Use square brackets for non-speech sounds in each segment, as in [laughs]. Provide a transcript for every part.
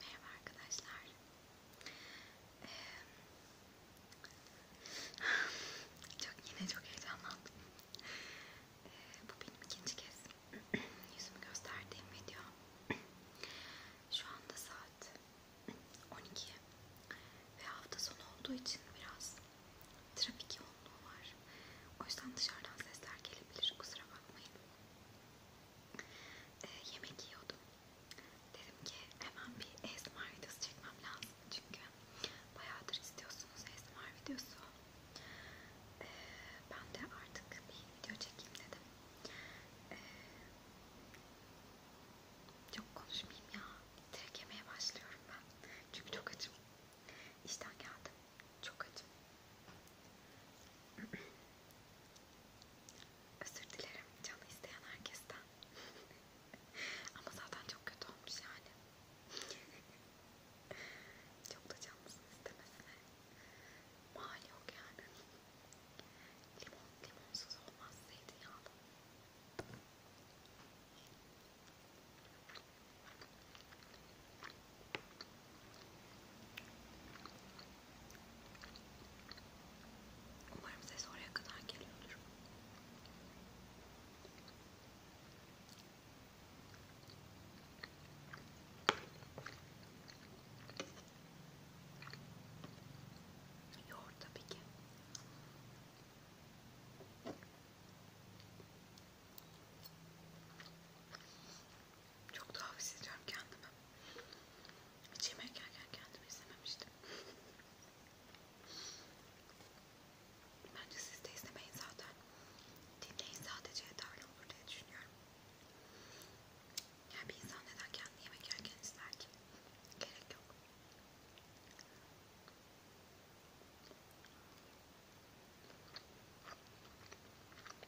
Merhaba arkadaşlar. Ee, çok yine çok heyecanlandım. Ee, bu benim ikinci kez [clears throat] yüzümü gösterdiğim video. Şu anda saat 12 ve hafta sonu olduğu için biraz trafik yoğunluğu var. O yüzden dışarıdan sesler gelebilir. Kusura bakmayın e, yemek yiyordum. Dedim ki hemen bir ASMR videosu çekmem lazım çünkü bayağıdır istiyorsunuz ASMR videosu. E, ben de artık bir video çekeyim dedim. E, ee, çok konuşmayayım ya. Direkt yemeye başlıyorum ben. Çünkü çok açım. İşten geldim. Çok açım. [clears throat] Özür dilerim canı isteyen herkesten. [laughs] Ama zaten çok kötü olmuş yani. [laughs] çok da canlısını istemesine. Mal yok yani. Limon, limonsuz olmaz zeytinyağlı. Umarım ses oraya kadar geliyordur. Yoğurt tabii ki. Çok tuhaf hissediyorum kendimi. Hiç yemek yerken kendimi izlememiştim. Bence siz de izlemeyin zaten. Dinleyin sadece yeterli olur diye düşünüyorum. Yani bir insan neden kendini yemek yerken ister ki? Gerek yok.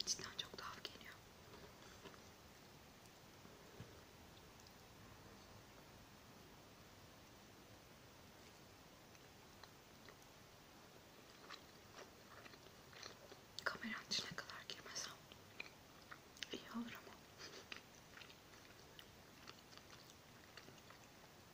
İçinden çok tuhaf geliyor. Kameranın içine kadar girmesem iyi olur ama.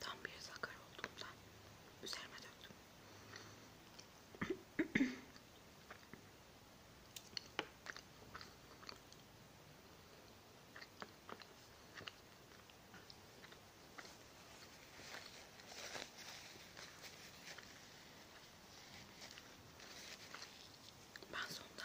Tam bir sakar olduğumdan üzerime döktüm. Ben sonunda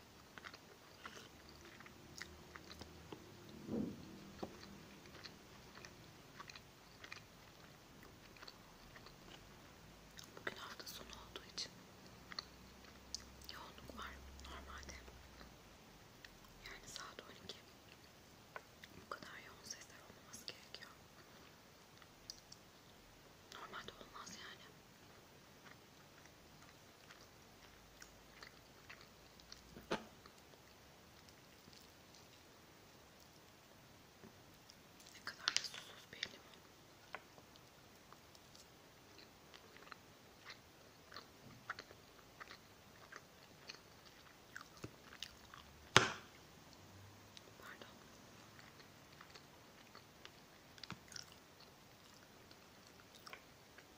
Bugün hafta sonu olduğu için yoğunluk var normalde. Yani saat 12. Bu kadar yoğun sesler olmaması gerekiyor. Normalde olmaz yani. Ne kadar da susuz bir limon. Pardon.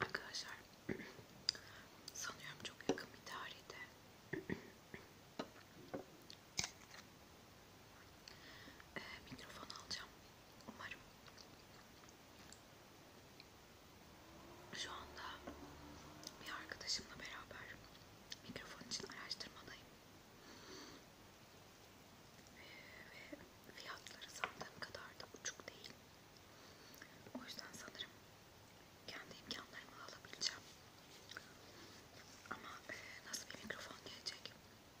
Arkadaşlar sanıyorum çok yakın bir tarihte e, mikrofon alacağım umarım. Şu anda bir arkadaşımla beraber mikrofon için araştırmadayım. Ee, ve fiyatları sandığım kadar da uçuk değil. O yüzden sanırım kendi imkanlarımı alabileceğim. Ama e, nasıl bir mikrofon gelecek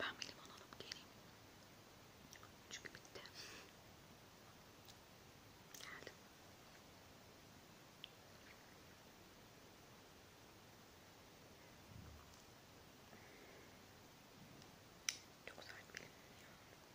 Ben bir liman alıp geleyim. Çünkü bitti. Geldim. Çok sert bir limon ya.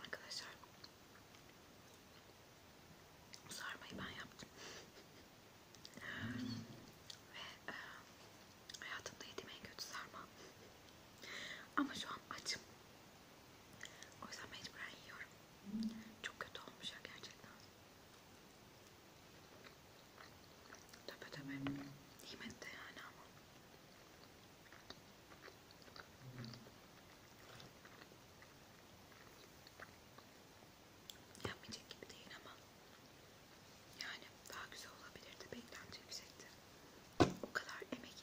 Arkadaşlar sarmayı ben yaptım ve e, Hayatımda yediğim en kötü sarma. Ama şu an açım. O yüzden mecburen yiyorum. Çok kötü olmuş ya gerçekten. Töpe töpe. Nimet de yani ama. Yapmayacak gibi değil ama. Yani daha güzel olabilirdi. Beklenti yüksekti. O kadar emek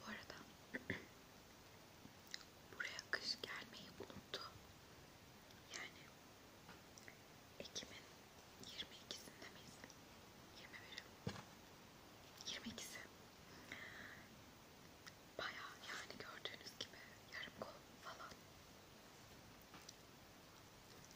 Bu arada buraya kış gelmeyi unuttu. Yani Ekim'in 22'sinde miyiz? 21 22'si Baya yani gördüğünüz gibi yarım kol falan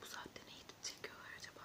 Bu saatte ne gidip çekiyorlar acaba?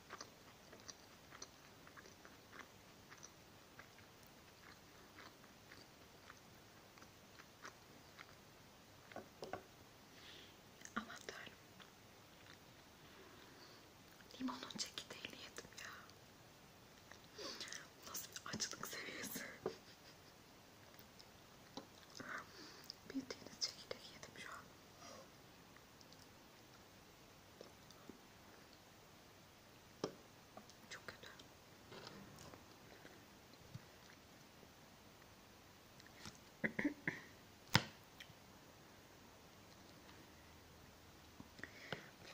Aman tanrım. Limonun çekirdeğini yedim ya. Nasıl bir açlık seviyesi. Bildiğiniz çekirdeği yedim şu an. Çok kötü. Bu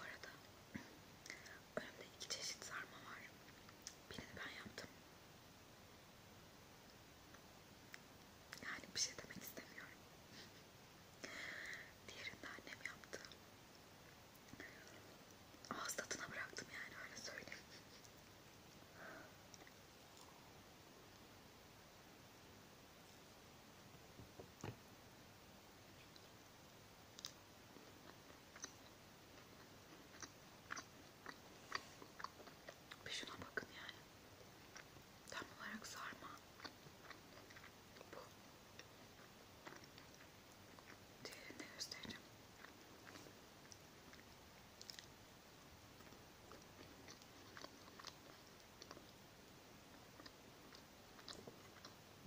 arada önümde iki çeşit sarma var. Birini ben yaptım. Yani bir şey demek istemiyorum. Diğerinde annem yaptı. Ağız tadına bıraktım yani öyle söyleyeyim. Bir şuna bakın yani. Tam olarak sarma. Bu. Diğerini de göstereceğim.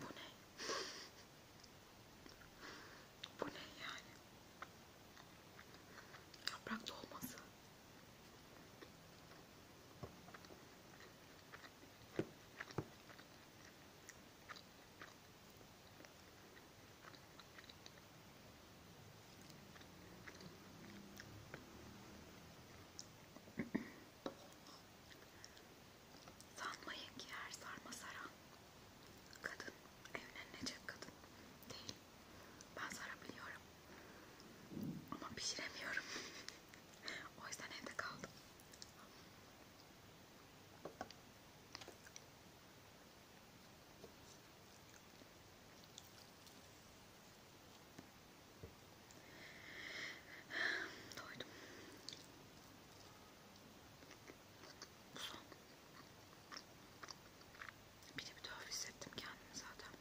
Bu ne? Bu ne yani? Yaprak dolması. Sanmayın ki her sarma saran kadın evlenecek kadın değil. Ben sarabiliyorum. Ama pişiremiyorum. o yüzden evde kaldım. Doydum. Bu son. Bir de bir tuhaf hissettim kendimi zaten.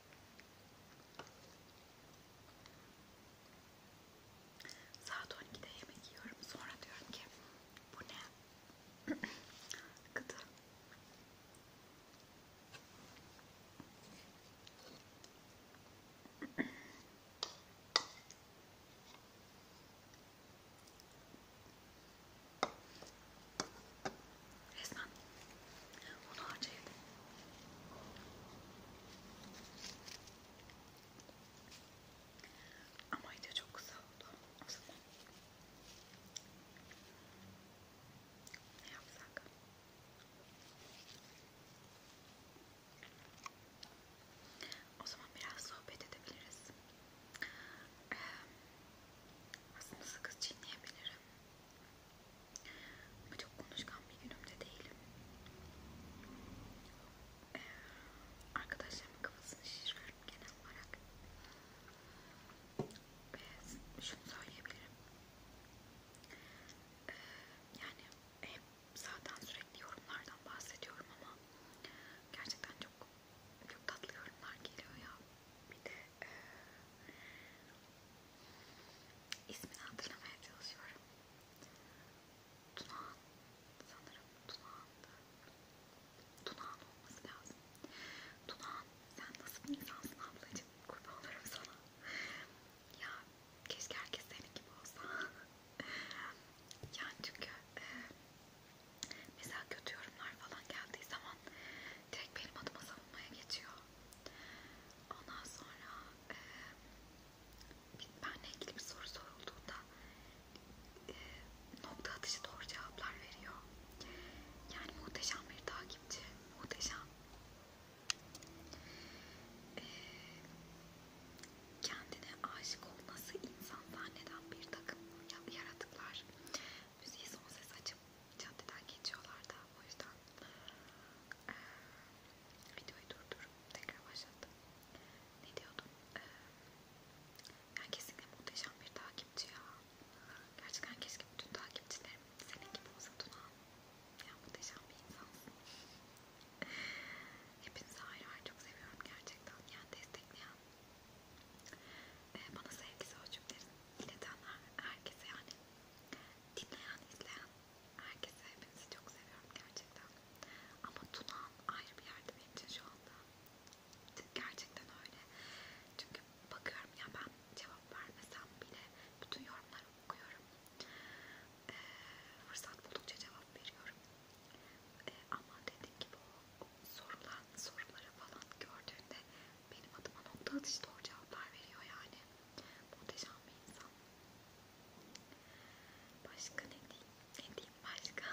Saat 12'de yemek yiyorum. Sonra diyorum ki bu ne? [clears throat] Gıda. [clears throat] Resmen onu harcayadım. Ama video çok kısa oldu o zaman. Ne yapsak? O zaman biraz sohbet edebiliriz. Ee, aslında sakız çiğneyebilirim. Ama çok konuşkan bir günümde değilim. Ee, arkadaşlarımın kafasını şişiriyorum genel olarak. Ve şunu söyleyebilirim. Ee, yani hep zaten sürekli yorumlardan bahsediyorum ama gerçekten çok çok tatlı yorumlar geliyor ya. Bir de İsmini hatırlamaya çalışıyorum. Tunağan sanırım Tunağan'dı. Tunağan olması lazım. Tunağan sen nasıl bir insansın ablacığım? Kurban olurum sana. Ya keşke herkes senin gibi olsa. [laughs] yani çünkü e, mesela kötü yorumlar falan geldiği zaman direkt benim adıma savunmaya geçiyor. Ondan sonra e, benle ilgili bir soru sorulduğunda e, nokta atışı doğru cevaplar veriyor. Yani muhteşem bir takipçi, muhteşem. E, kendine aşık olması insan zanneden bir takım yaratıklar müziği son ses açık anneciğim caddeden geçiyorlar da o yüzden ee, videoyu durdurup tekrar başlattım. Ne diyordum? Ee, yani kesinlikle muhteşem bir takipçi ya. Gerçekten keşke bütün takipçilerim senin gibi olsa Tuna. Ya muhteşem bir insansın. Hepinizi ayrı ayrı çok seviyorum gerçekten. Yani destekleyen, bana sevgi sözcüklerini ileten herkese yani dinleyen, izleyen herkese hepinizi çok seviyorum gerçekten. Ama Tuna'm ayrı bir yerde benim için şu anda. Gerçekten öyle. Çünkü bakıyorum ya ben cevap vermesem bile bütün yorumları okuyorum. Ee, fırsat buldukça cevap veriyorum. Ee, ama dediğim gibi o, o sorulan soruları falan gördüğünde benim adıma nokta atışta o cevaplar veriyor yani. Muhteşem bir insan. Başka ne diyeyim? Ne diyeyim başka?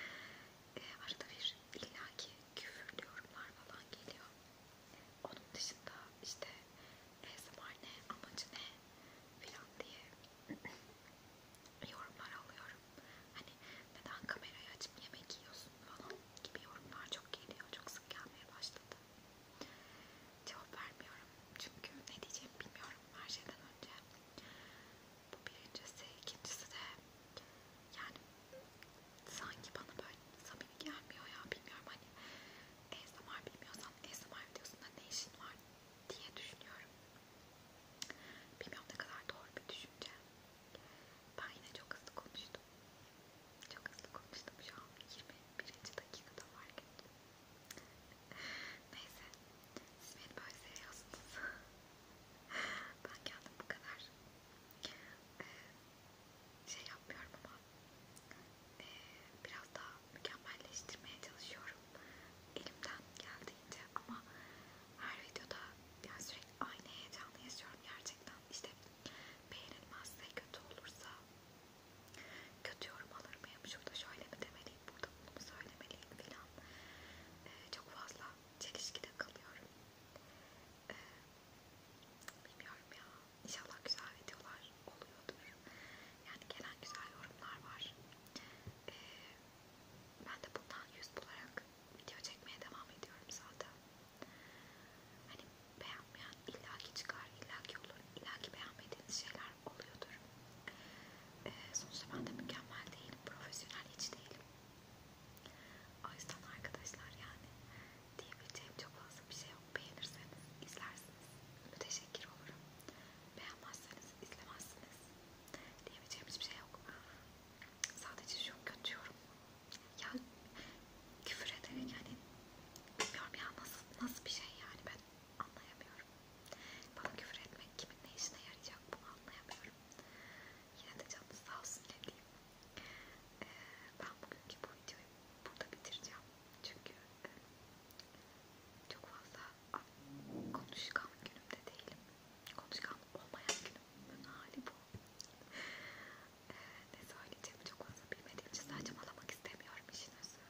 [laughs] E, arada bir illaki küfürlü yorumlar falan geliyor. Onun dışında işte ne zaman ne amacı ne filan diye [clears throat] yorumlar alıyorum. Hani neden kamerayı açıp yemek yiyorsun falan gibi yorumlar çok geliyor. Çok sık gelmeye başladı. Cevap vermiyorum çünkü ne diyeceğimi bilmiyorum her şeyden önce. Bu birincisi, ikincisi de yani sanki bana böyle samimi gelmiyor ya bilmiyorum hani ASMR bilmiyorsan ASMR videosunda ne işin var diye düşünüyorum. Bilmiyorum ne kadar doğru bir düşünce. Ben yine çok hızlı konuştum. Çok hızlı konuştum şu an 21. dakikada fark ettim. [laughs] Neyse, siz beni böyle seviyorsunuz. [laughs] ben kendim bu kadar ee, şey yapmıyorum ama ee, biraz daha mükemmelleştirmeye çalışıyorum elimden geldiğince ama her videoda yani sürekli aynı heyecanı yaşıyorum gerçekten. İşte beğenilmezse, kötü olursa kötü yorum alır mıyım? Şurada şöyle mi demeliyim? Burada bunu mu söylemeliyim? Filan. Ee, çok fazla çelişkide kalıyorum. Ee, bilmiyorum ya. İnşallah güzel videolar oluyordur. Yani gelen güzel yorumlar var. Ee, ben de bundan yüz bularak video çekmeye devam ediyorum zaten. Hani beğenmeyen illaki çıkar, illaki olur, illaki beğenmediğiniz şeyler oluyordur. Ee, sonuçta ben de mükemmel değilim, profesyonel hiç değilim. O yüzden arkadaşlar yani diyebileceğim çok fazla bir şey yok. Beğenirseniz izlersiniz, müteşekkir olurum. Beğenmezseniz izlemezsiniz. Diyebileceğim hiçbir şey yok. Sadece şu kötü yorum. Ya küfür ederek hani bilmiyorum ya nasıl, nasıl bir şey yani ben anlayamıyorum. Bana küfür etmek kimin ne işine yarayacak bunu anlayamıyorum. Yine de canınız sağ olsun ne diyeyim. Ee, ben bugünkü bu videoyu burada bitireceğim. Çünkü e, çok fazla konuşkan günümde değilim. Konuşkan olmayan günümün hali bu ne söyleyeceğimi çok fazla bilmediğim için saçmalamak istemiyorum işin özü.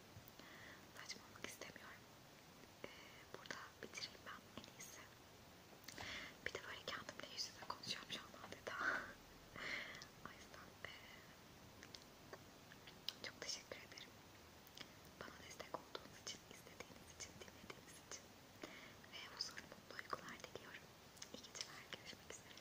Saçmalamak istemiyorum. Ee, burada bitireyim ben en iyisi. Bir de böyle kendimle yüz yüze konuşuyorum şu an adeta. [laughs] o yüzden e, çok teşekkür ederim. Bana destek olduğunuz için, izlediğiniz için, dinlediğiniz için ve huzurlu mutlu uykular diliyorum. İyi geceler, görüşmek üzere.